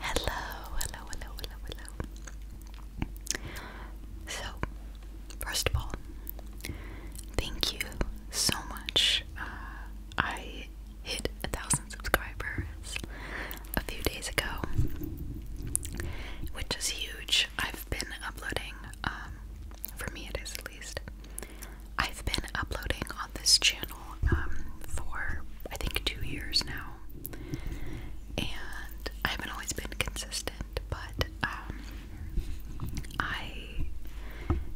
Hello, hello, hello, hello, hello. So, first of all, thank you so much. Uh, I hit a thousand subscribers a few days ago, which is huge. I've been uploading, um, for me it is at least, I've been uploading this channel um, for I think two years now, and I haven't always been consistent, but um, I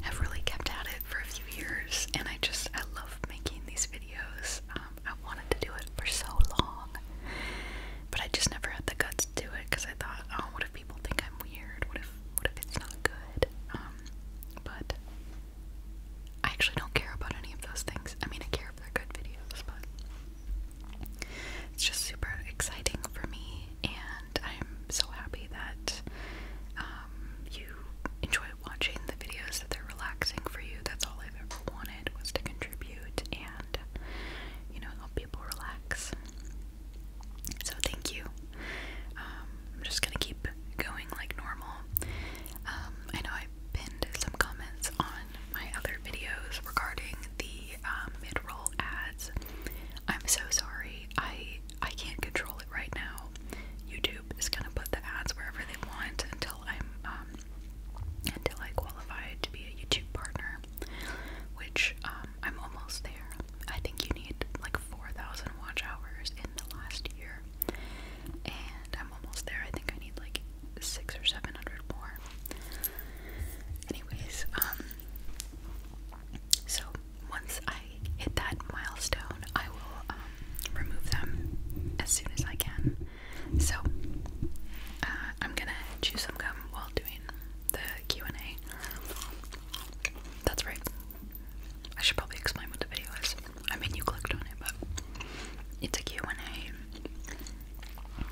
have really kept at it for a few years, and I just I love making these videos. Um, I wanted to do it for so long, but I just never had the guts to do it because I thought, oh, what if people think I'm weird? What if what if it's not good? but I actually don't care about any of those things. I mean, I care if they're good videos, but it's just super exciting for me, and I'm so happy that um, you enjoy watching the videos, that they're relaxing for you. That's all I've ever wanted was to contribute and, you know, help people relax. So, thank you. Um, I'm just gonna keep going like normal. Um, I know I pinned some comments on my other videos regarding the um, mid-roll ads. I'm so sorry. I I can't control it right now. YouTube is gonna put the ads wherever they want until I'm um, until I qualify to be a YouTube partner, which um, I'm almost there. I think you need like 4,000 watch hours in the last year and I'm almost there. I think I need like six or seven hundred more. Anyways, um, so once I hit that milestone, I will um, remove them as soon as I can. So uh, I'm gonna chew some gum while doing the Q and A. That's right. I should probably explain what the video is. I mean, you clicked on it, but it took and I.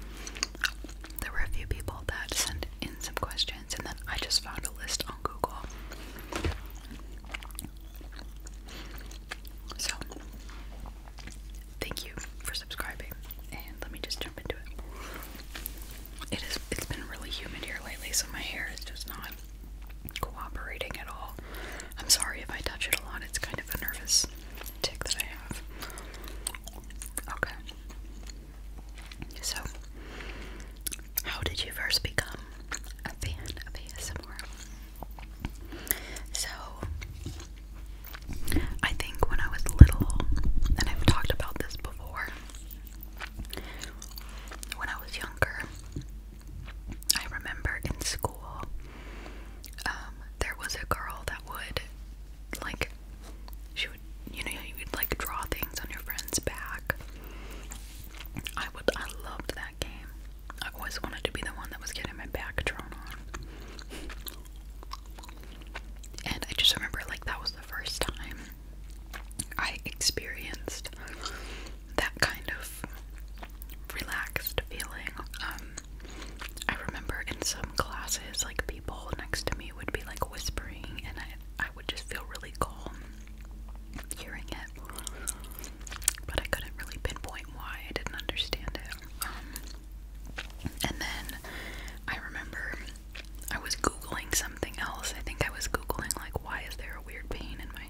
There were a few people that sent in some questions, and then I just found a list on Google. So, thank you for subscribing, and let me just jump into it. It is. It's been really humid here lately, so my hair is just not cooperating at all. I'm sorry if I touch it a lot, it's kind of a nervous tick that I have. Okay. So, how did you first become a fan of ASMR? So, I think when I was little, and I've talked about this before, when I was younger, I remember in school, um, there was a girl that would, like, she would, you know, you would like draw things on your friend's back. I would, I loved that game. I always wanted to be the one that was getting my back drawn on. And I just remember, like, that was the first time I experienced that kind of relaxed feeling. Um, I remember in some classes, like people next to me would be like whispering, and I, I would just feel really calm hearing it. But I couldn't really pinpoint why, I didn't understand it. Um, and then I remember I was Googling something else. I think I was Googling, like, why is there a weird pain in my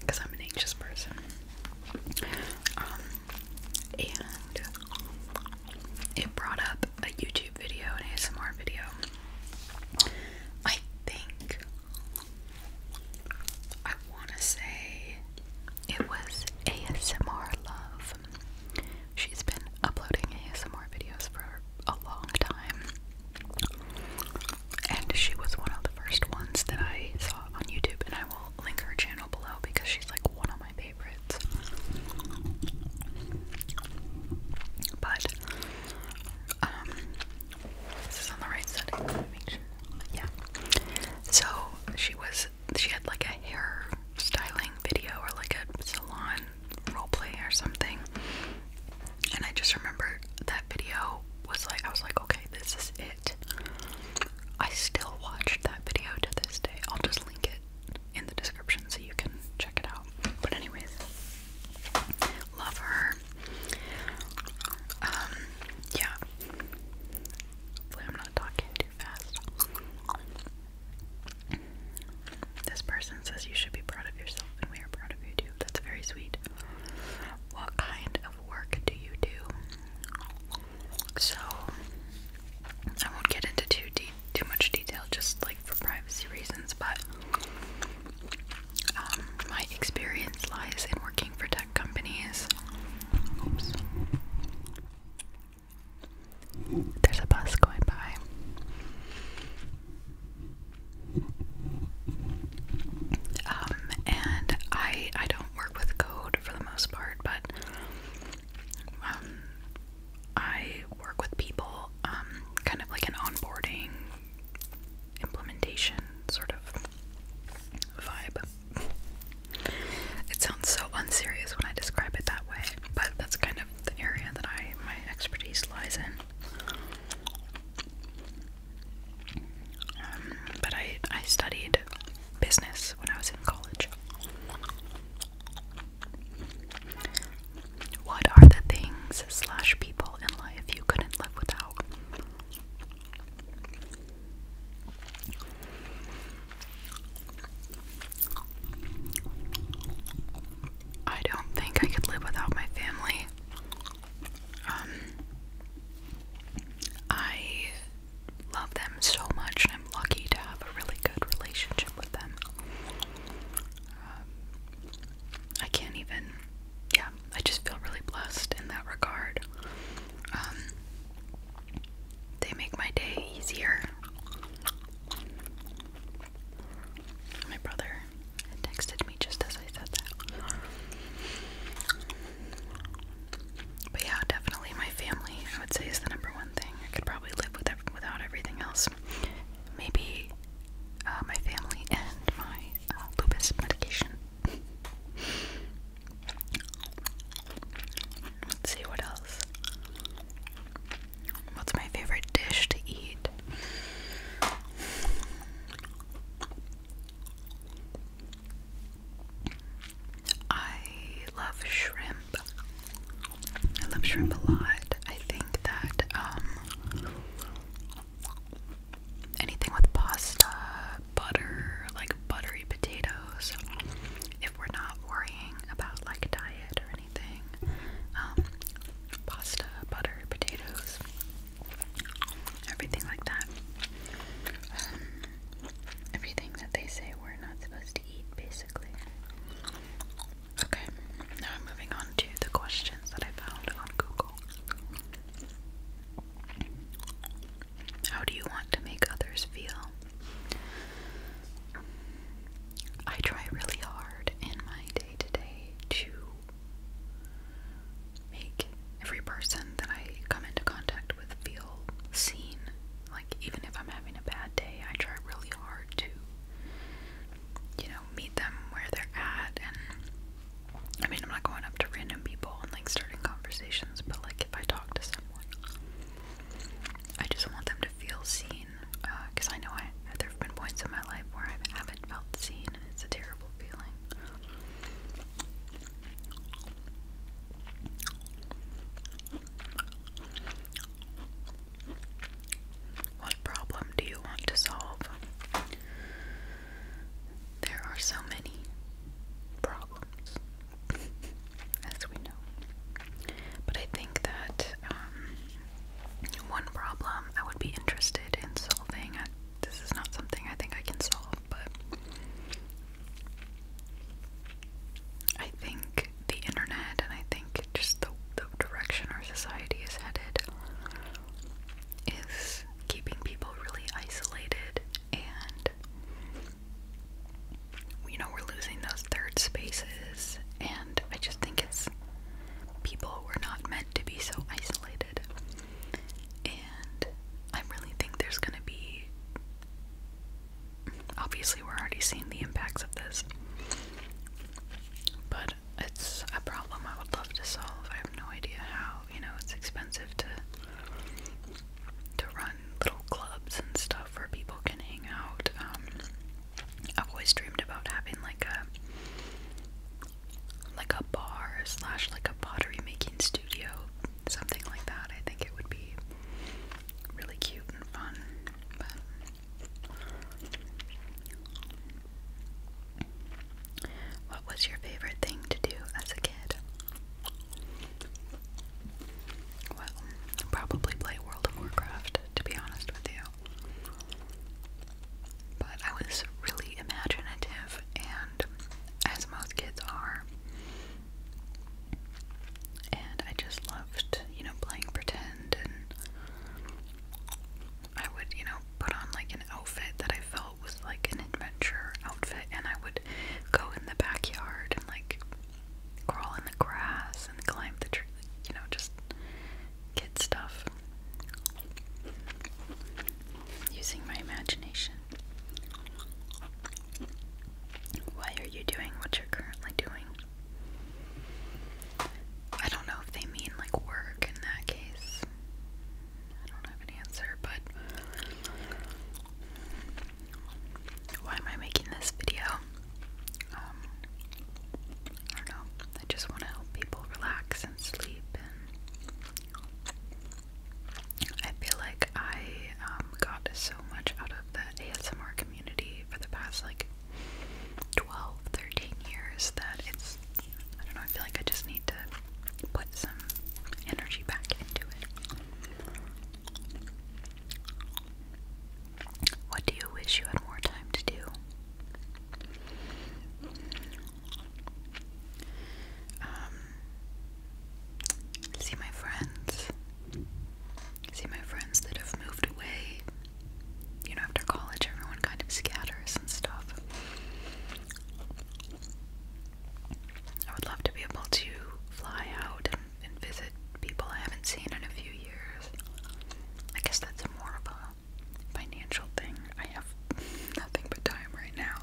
because I'm an anxious person. Um, and it brought up a YouTube video, an ASMR video. I think I want to say it was ASMR Love. She's been uploading ASMR videos for a long time. And she was one of the first ones that I saw on YouTube, and I will link her channel below because she's like one of my favorites. But, um, this is on the right side. Yeah. So she was, she had like a hair styling video or like a salon role play or something. And I just remember that video was like, I was like, okay, this is it. I still watch that video to this day. I'll just link it in the description so you can check it out. But, anyways, love her. Um, yeah. Hopefully, I'm not talking too fast. This person says you should be proud of yourself, and we are proud that's very sweet. What kind of work do you do? So, I won't get into too too much detail, just like for privacy reasons. But um, my experience lies in working for tech companies. There's a bus going by. Um, and I I don't work with code for the most part, but um, I work with people, um, kind of like an onboarding implementation sort of vibe. It sounds so unserious when I describe it that way, but that's kind of the area that I my expertise lies in. Um, but I, I studied business when I was in college. What are the things slash people in life you couldn't live without? I don't think I could live without my family. Um, I love them so much, and I'm lucky to have a really good relationship with them. Um, I can't even, yeah, I just feel really blessed in that regard. Um, they make my day easier. My brother texted me just as I said that. But yeah, definitely my family, I would say, is the number one thing. I could probably live with without everything else. Maybe uh, my family and my uh, lupus medication. Let's see what else. What's my favorite dish to eat? I love shrimp. I love shrimp a lot. I think that um, anything with pasta, butter, like buttery potatoes, if we're not worrying about like diet or anything. Um, pasta, butter, potatoes, everything like that. Um, everything that they say we're not supposed to eat, basically. Okay, now I'm moving on to the questions that I found on Google. How do you want to make others feel? I try really hard in my day to day to make every person that I come into contact with feel seen. Like, even if I'm having a bad day, I try really hard to, you know, meet them where they're at. And I mean, I'm not going up to random people and like starting conversations, but like if I talk to someone, I just want them to feel seen because uh, I know I there have been points in my life where I haven't felt seen, and it's a terrible feeling. What problem do you want to solve? There are so many problems, as we know. But I think that um, one problem I would be interested in solving. this is not something I think I can solve, but I think the internet and I think just the, the direction our society is headed is keeping people really isolated and you know we're losing those third spaces and and I just think it's people were not meant to be so isolated. And I really think there's going to be obviously we're already seeing the impacts of this. But it's a problem I would love to solve. I have no idea how, you know, it's expensive to to run little clubs and stuff where people can hang out. Um I've always dreamed about having like a like a bar slash like a pottery making studio, something like that. I think it would be really cute and fun. what was your favorite thing to do as a kid? Well, probably play World of Warcraft, to be honest with you. But I was really imaginative, and as most kids are, and I just loved, you know, playing pretend, and I would, you know, put on like an outfit that I felt was like an adventure outfit, and I would go in the backyard and like crawl in the grass and climb the tree, you know, just kid stuff using my imagination. Why are you doing what you're currently doing? I don't know if they mean like work in that case. I don't have an answer, but why am I making this video? Um, I don't know. I just want to help people relax and sleep. And I feel like I um, got so much out of the ASMR community for the past like 12, 13 years that it's, I don't know, I feel like I just need to put some energy back into it. What do you wish you had more time to do? Um, see my friends. See my friends that have moved away. You know, after college, everyone kind of scatters and stuff. I would love to be able to fly out and visit people I haven't seen in a few years. I guess that's more of a financial thing. I have nothing but time right now.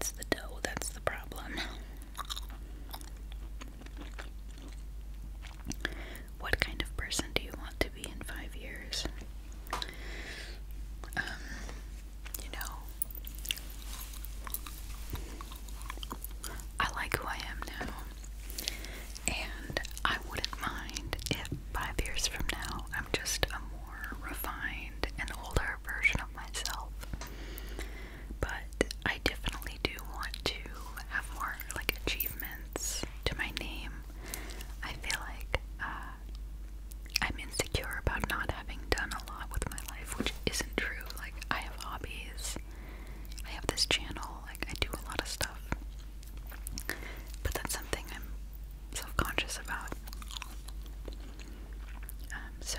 It's the dough that's the problem. What kind of person do you want to be in five years? Um, you know, I like who I am now. And I wouldn't mind if five years from now I'm just a more refined and older version of myself. But I definitely do want to have more like achievements to my name. I feel like uh, I'm insecure about not having done a lot with my life, which isn't true. Like, I have hobbies, I have this channel, like I do a lot of stuff. But that's something I'm self-conscious about. Um, so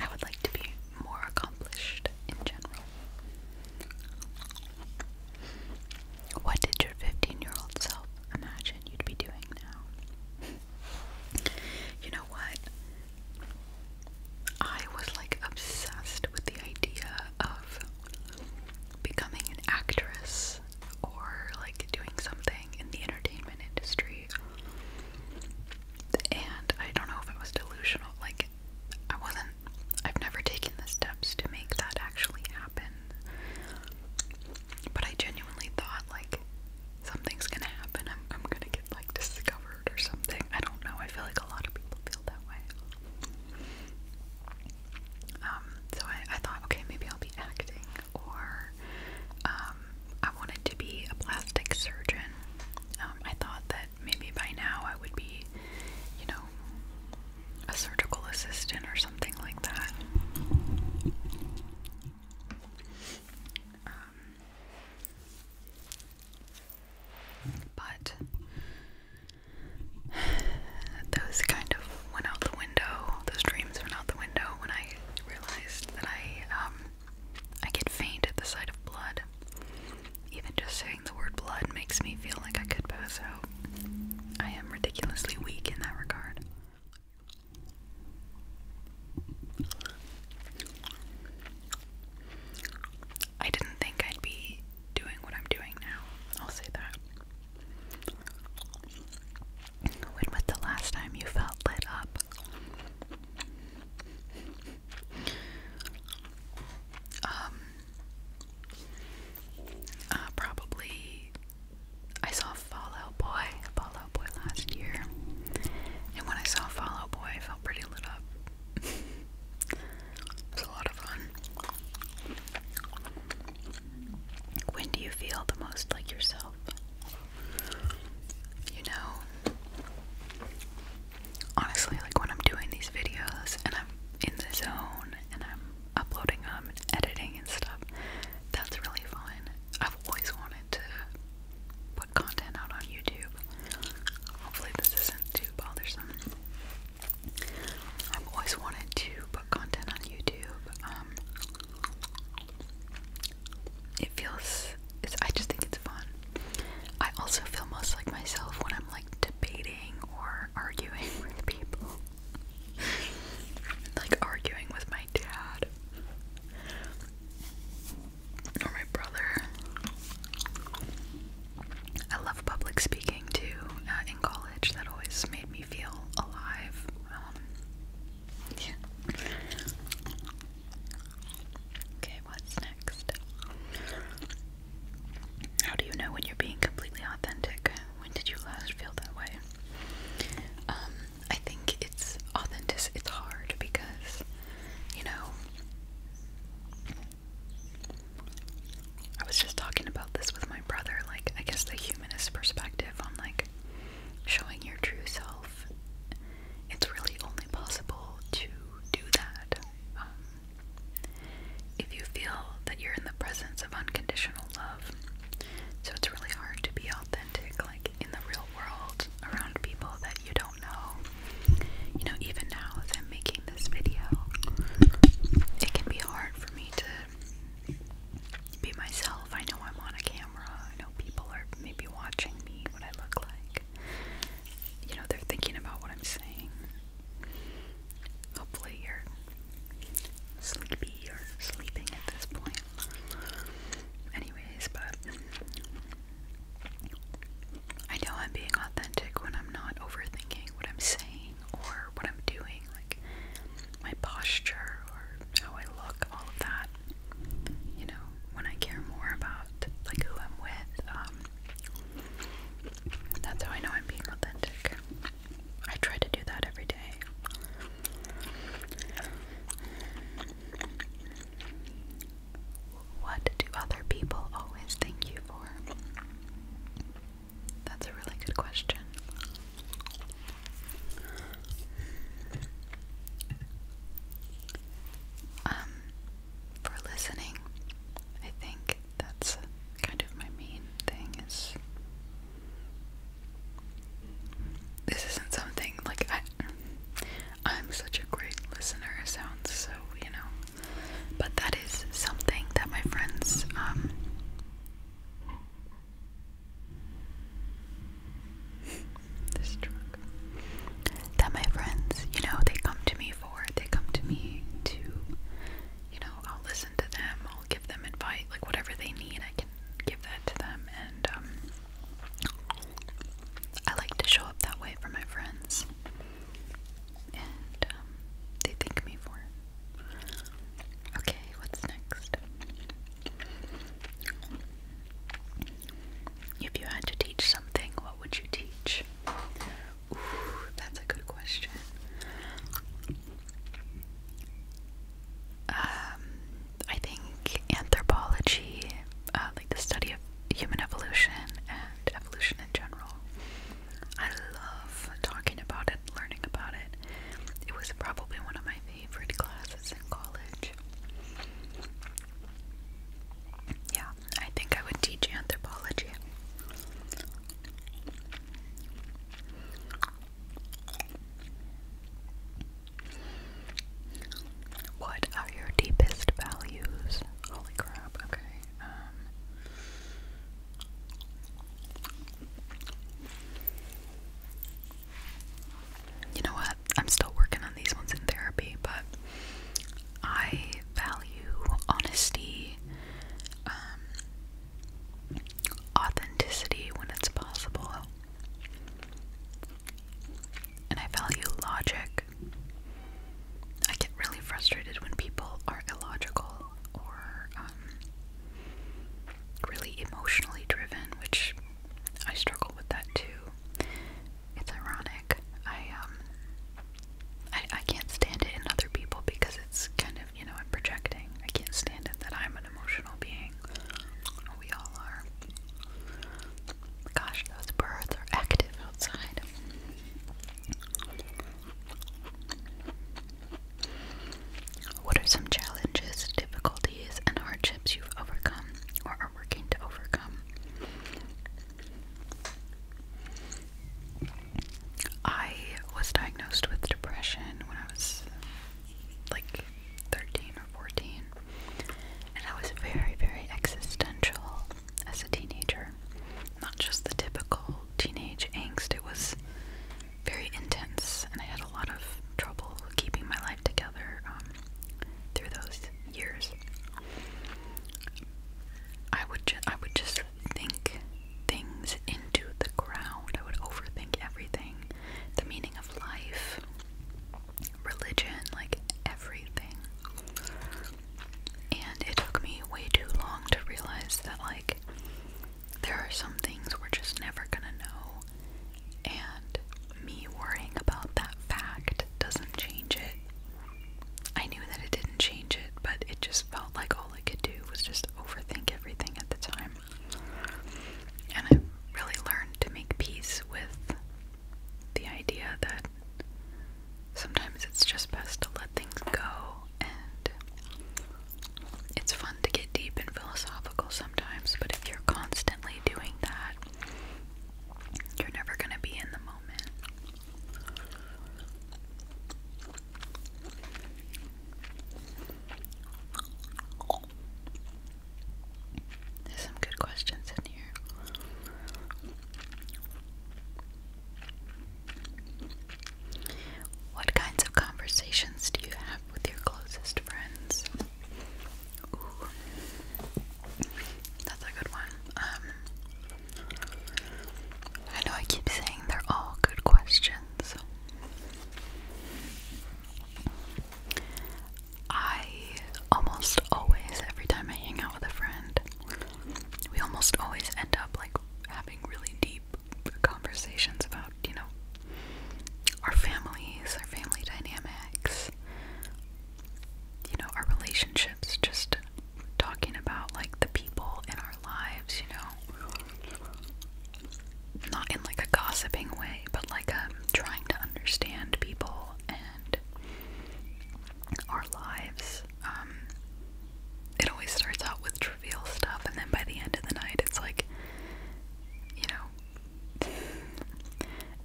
I would like to be more accomplished in general. What did your 15-year-old self imagine you'd be doing now? you know what? I was like obsessed with the idea of becoming an actress or like doing something in the entertainment industry. And I don't know if it was delusional, like, I wasn't, I've never taken the steps to make that actually happen. But I genuinely thought, like, something's gonna happen, I'm, I'm gonna like discovered or something. I don't know. I feel like a lot of people feel that way. Um, so I, thought, okay, maybe I'll be acting, or um, I wanted to be a plastic surgeon. Um, I thought that maybe by now I would be, you know, a surgical assistant or something like that. But those kind of went out the window. Those dreams went out the window when I realized that I um I get faint at the sight of blood. Even just saying the word blood makes me feel like I could pass out. I am ridiculously weak in that regard. I didn't think I'd be doing what I'm doing now. I'll say that. When was the last time you felt lit up? Um, uh, probably I saw Fallout Boy, Fallout Boy last year, and when I saw Fallout Boy, I felt pretty lit up it's a lot of fun. When do you feel the most like yourself? You know, honestly, like when I'm doing these videos and I'm in the zone and I'm uploading them and editing and stuff, that's really fun. I've always wanted to content out on YouTube. Hopefully, this isn't too bothersome. I've always wanted to put content on YouTube. Um, it feels. I just think it's fun. I also feel most like myself when I'm like debating or arguing with people. like arguing with my dad or my brother. I love public speaking too. Uh, in college, that always made me feel alive. Um, yeah. Okay, what's next? How do you know when you're being completely authentic? When did you last feel that way? Um, I think it's authentic. It's hard because you know. I was just talking about this with my brother, like, I guess the humanist perspective on, like, showing your true self. It's really only possible to do that um, if you feel that you're in the presence of unconditional love. So it's really hard to be authentic, like, in the real world around people that you don't do You know, even now as I'm making this video, it can be hard for me to be myself. I know I'm on a camera. I know people are maybe watching me, what I look like. You know, they're thinking about what I'm saying. Hopefully, you're sleepy or sleeping at this point. Anyways, but I know I'm being authentic when I'm not overthinking what I'm saying or what I'm doing, like my posture or how I look, all of that. You know, when I care more about like who I'm with, um, that's how I know I'm being authentic. I try to do that every day. What do other people always thank you for? That's a really good question. Um, for listening, I think that's kind of my main thing is this isn't something like I I'm such a great listener, sounds so, you know. But that is something that my friends, um, this truck, that my friends, you know, they come to me for. They come to me to, you know, I'll listen to them, I'll give them advice, like whatever they need, I can give that to them, and, um, I like to show up that way for my friends, and um, they thank me for it. Okay, what's next? If you had to teach something, what would you teach? that's a good question. Um, I think anthropology, uh, like the study of human evolution and evolution in general, I love talking about it, learning about it. It was probably one of my favorite classes in college. Yeah, I think I would teach anthropology. What are your deepest values? Holy crap, okay. Um, you know what? I'm still working on these ones in therapy, but I value honesty, um, authenticity when it's possible. And I value logic. I get really frustrated when people are illogical or um, really emotionally driven, which I struggle with that too. It's ironic. I um, I, I can't stand it in other people because it's kind of you know I'm projecting. I can't stand it that I'm an emotional being. We all are. Gosh, those birds are active outside. What are some challenges, difficulties, and hardships you've overcome or are working to overcome? I was diagnosed with depression when I was like 13 or 14. And I was very, very existential as a teenager. Not just the typical teenage angst, it was very intense, and I had a lot of trouble keeping my life together um, through those years. I would, ju I would just think things into the ground, I would overthink everything the meaning of life religion, like everything. And it took me way too long to realize that, like, there are some things we're just never gonna know, and me worrying about that fact doesn't change it. I knew that it didn't change it, but it just felt like all I could do was just overthink everything at the time. And I really learned to make peace with the idea that sometimes it's just best to let things go, and it's fun to get deep and philosophical sometimes, but if you're constantly doing that, you're never going to be in the moment. There's some good questions in here. What kinds of conversations do you have with your closest friends? Ooh. That's a good one. Um, I know I keep saying they're all good questions. I almost always, every time I hang out with a friend, we almost always end up like having really deep conversations about, you know, our families, our family dynamics, you know, our relationships, just talking about like the people in our lives, you know not in like a gossiping way, but like um, trying to understand people and our lives. Um, it always starts out with trivial stuff, and then by the end of the night, it's like, you know,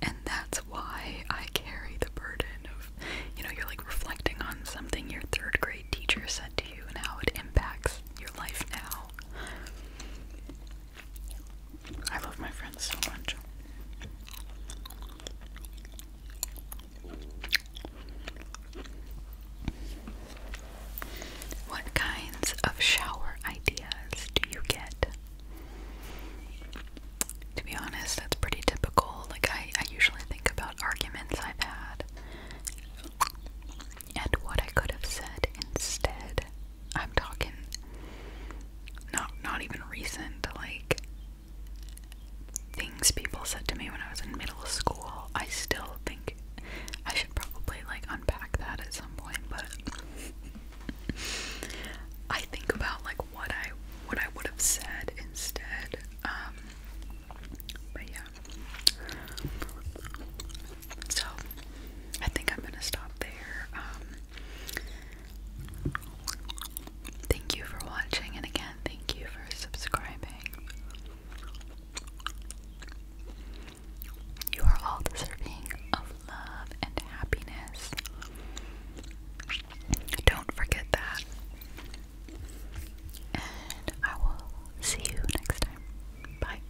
and that's why I carry the burden of, you know, you're like reflecting on something your third grade teacher said to you and how it impacts your life now. I love my friends so much. What kinds of shower ideas do you get? To be honest, that's pretty typical. Like, I, I usually think about arguments I've had and what I could have said instead. I'm talking not not even recent, like things people said to me when I was in middle school. I still think I should probably like unpack that at some point, but I think about like what I what I would have said instead. Um but yeah. So I think I'm gonna stop there. Um, thank you for watching, and again, thank you for subscribing. You are all deserving of love and happiness. Don't forget that. And I will see you next time. Bye.